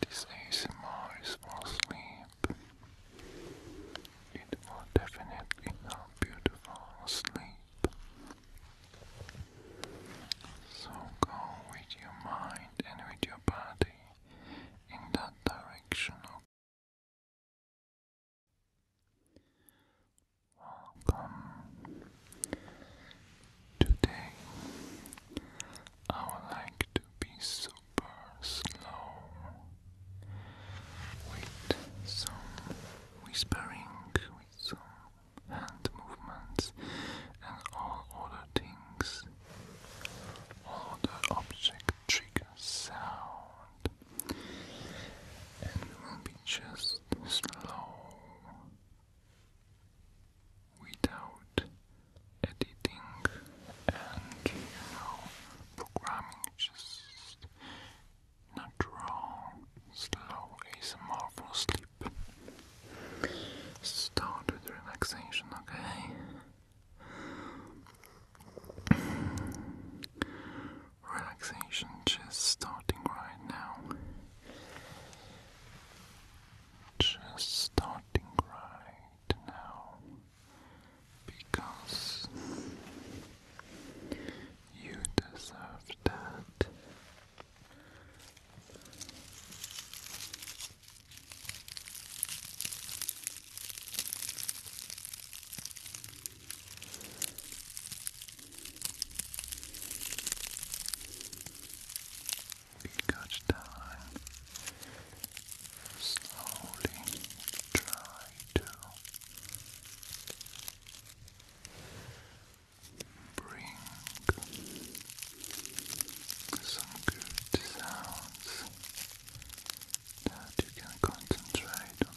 This ASMR is for sleep. It definitely not beautiful sleep. So go with your mind and with your body in that direction. Welcome Today, I would like to be super slow with some whispering, with some hand movements, and all other things, all the object trigger sound, and it will be just slow without editing and programming just natural slow ASMR for sleep start with relaxation okay relaxation just starting right now just starting right now because you deserve that each time. Slowly try to bring some good sounds that you can concentrate on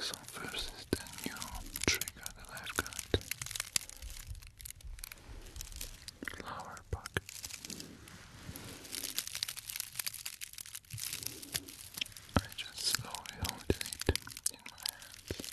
So first is the trigger that I've Flower bucket. I just slowly hold it in my hands.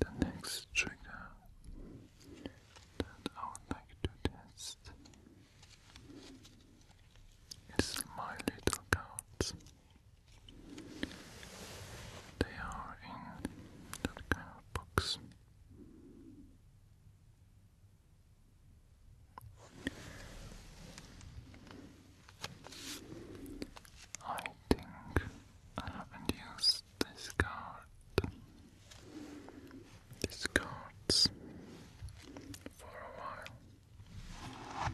The next trigger that I would like to test it's my little cats. They are in that kind box. I think I haven't used this card these cards for a while.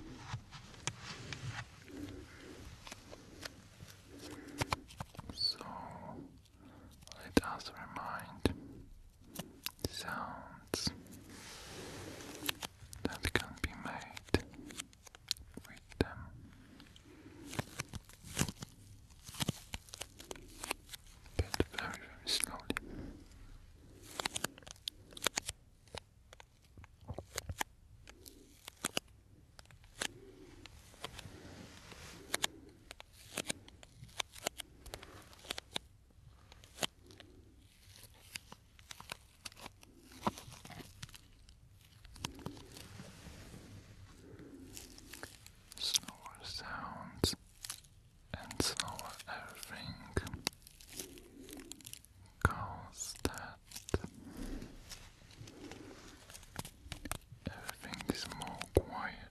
So let us remind sounds that can be made with them but very, very slowly. Slower sounds and so everything goes that everything is more quiet.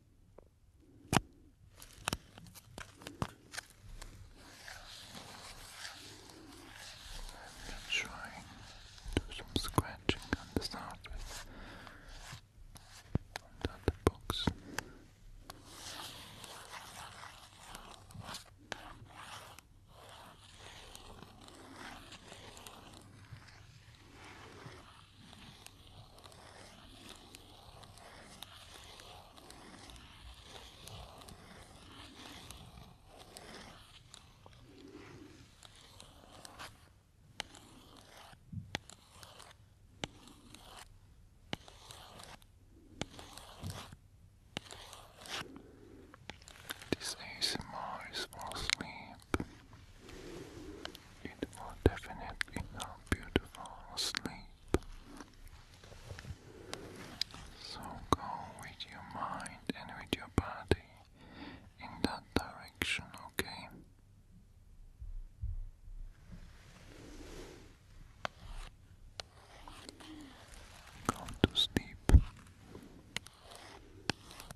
I've trying to do some scratching on the surface and on the box. This ASMR is for sleep. It will definitely not beautiful sleep. So go with your mind and with your body in that direction, okay? Go to sleep.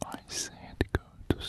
I said go to sleep.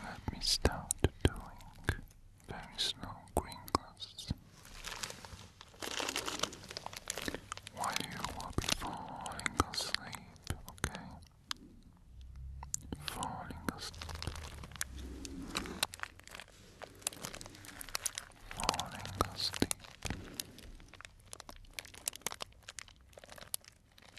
Let me start doing very slow crinkles. While you will be falling asleep, okay? Falling asleep. Falling asleep.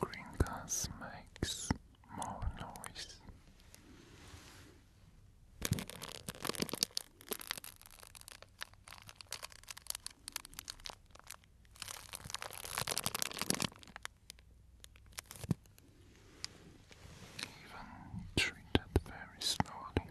Green gas makes more noise. Even treated very slowly.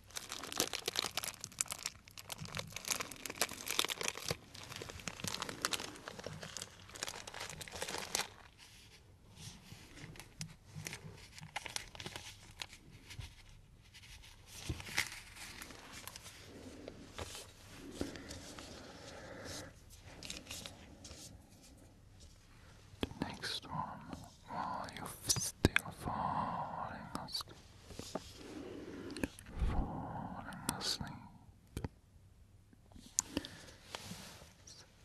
The next one while you're still falling asleep. Falling asleep.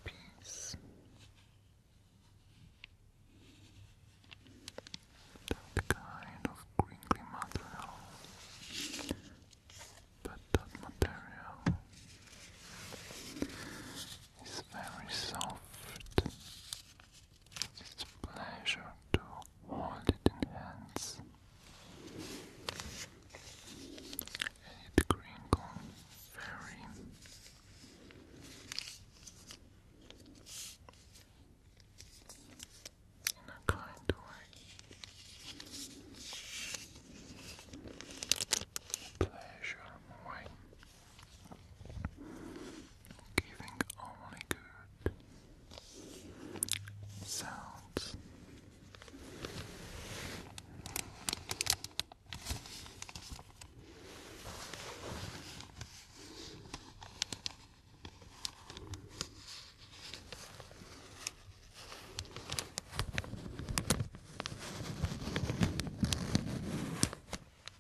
peace. That kind of crinkly material, but that material is very soft it's a pleasure to hold it in hands. it crinkles very in a kind way. Pleasure way giving only good sounds.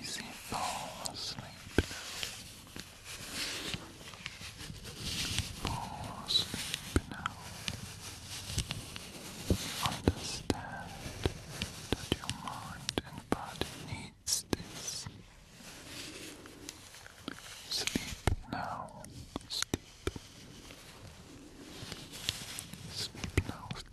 Easy fall asleep Fall asleep now. Understand that your mind and body needs this. Sleep now. Sleep. Sleep now. Sleep. Sleep.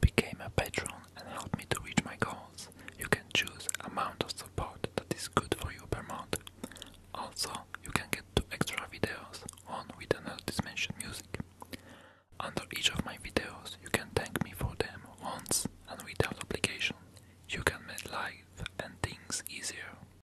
Became a patron and help me to reach my goals. You can choose amount of support that is good for you per month. Also, you can get two extra videos, one with another mentioned music. Under each of my videos, you can thank me for them once and without obligation. You can make life and things easier.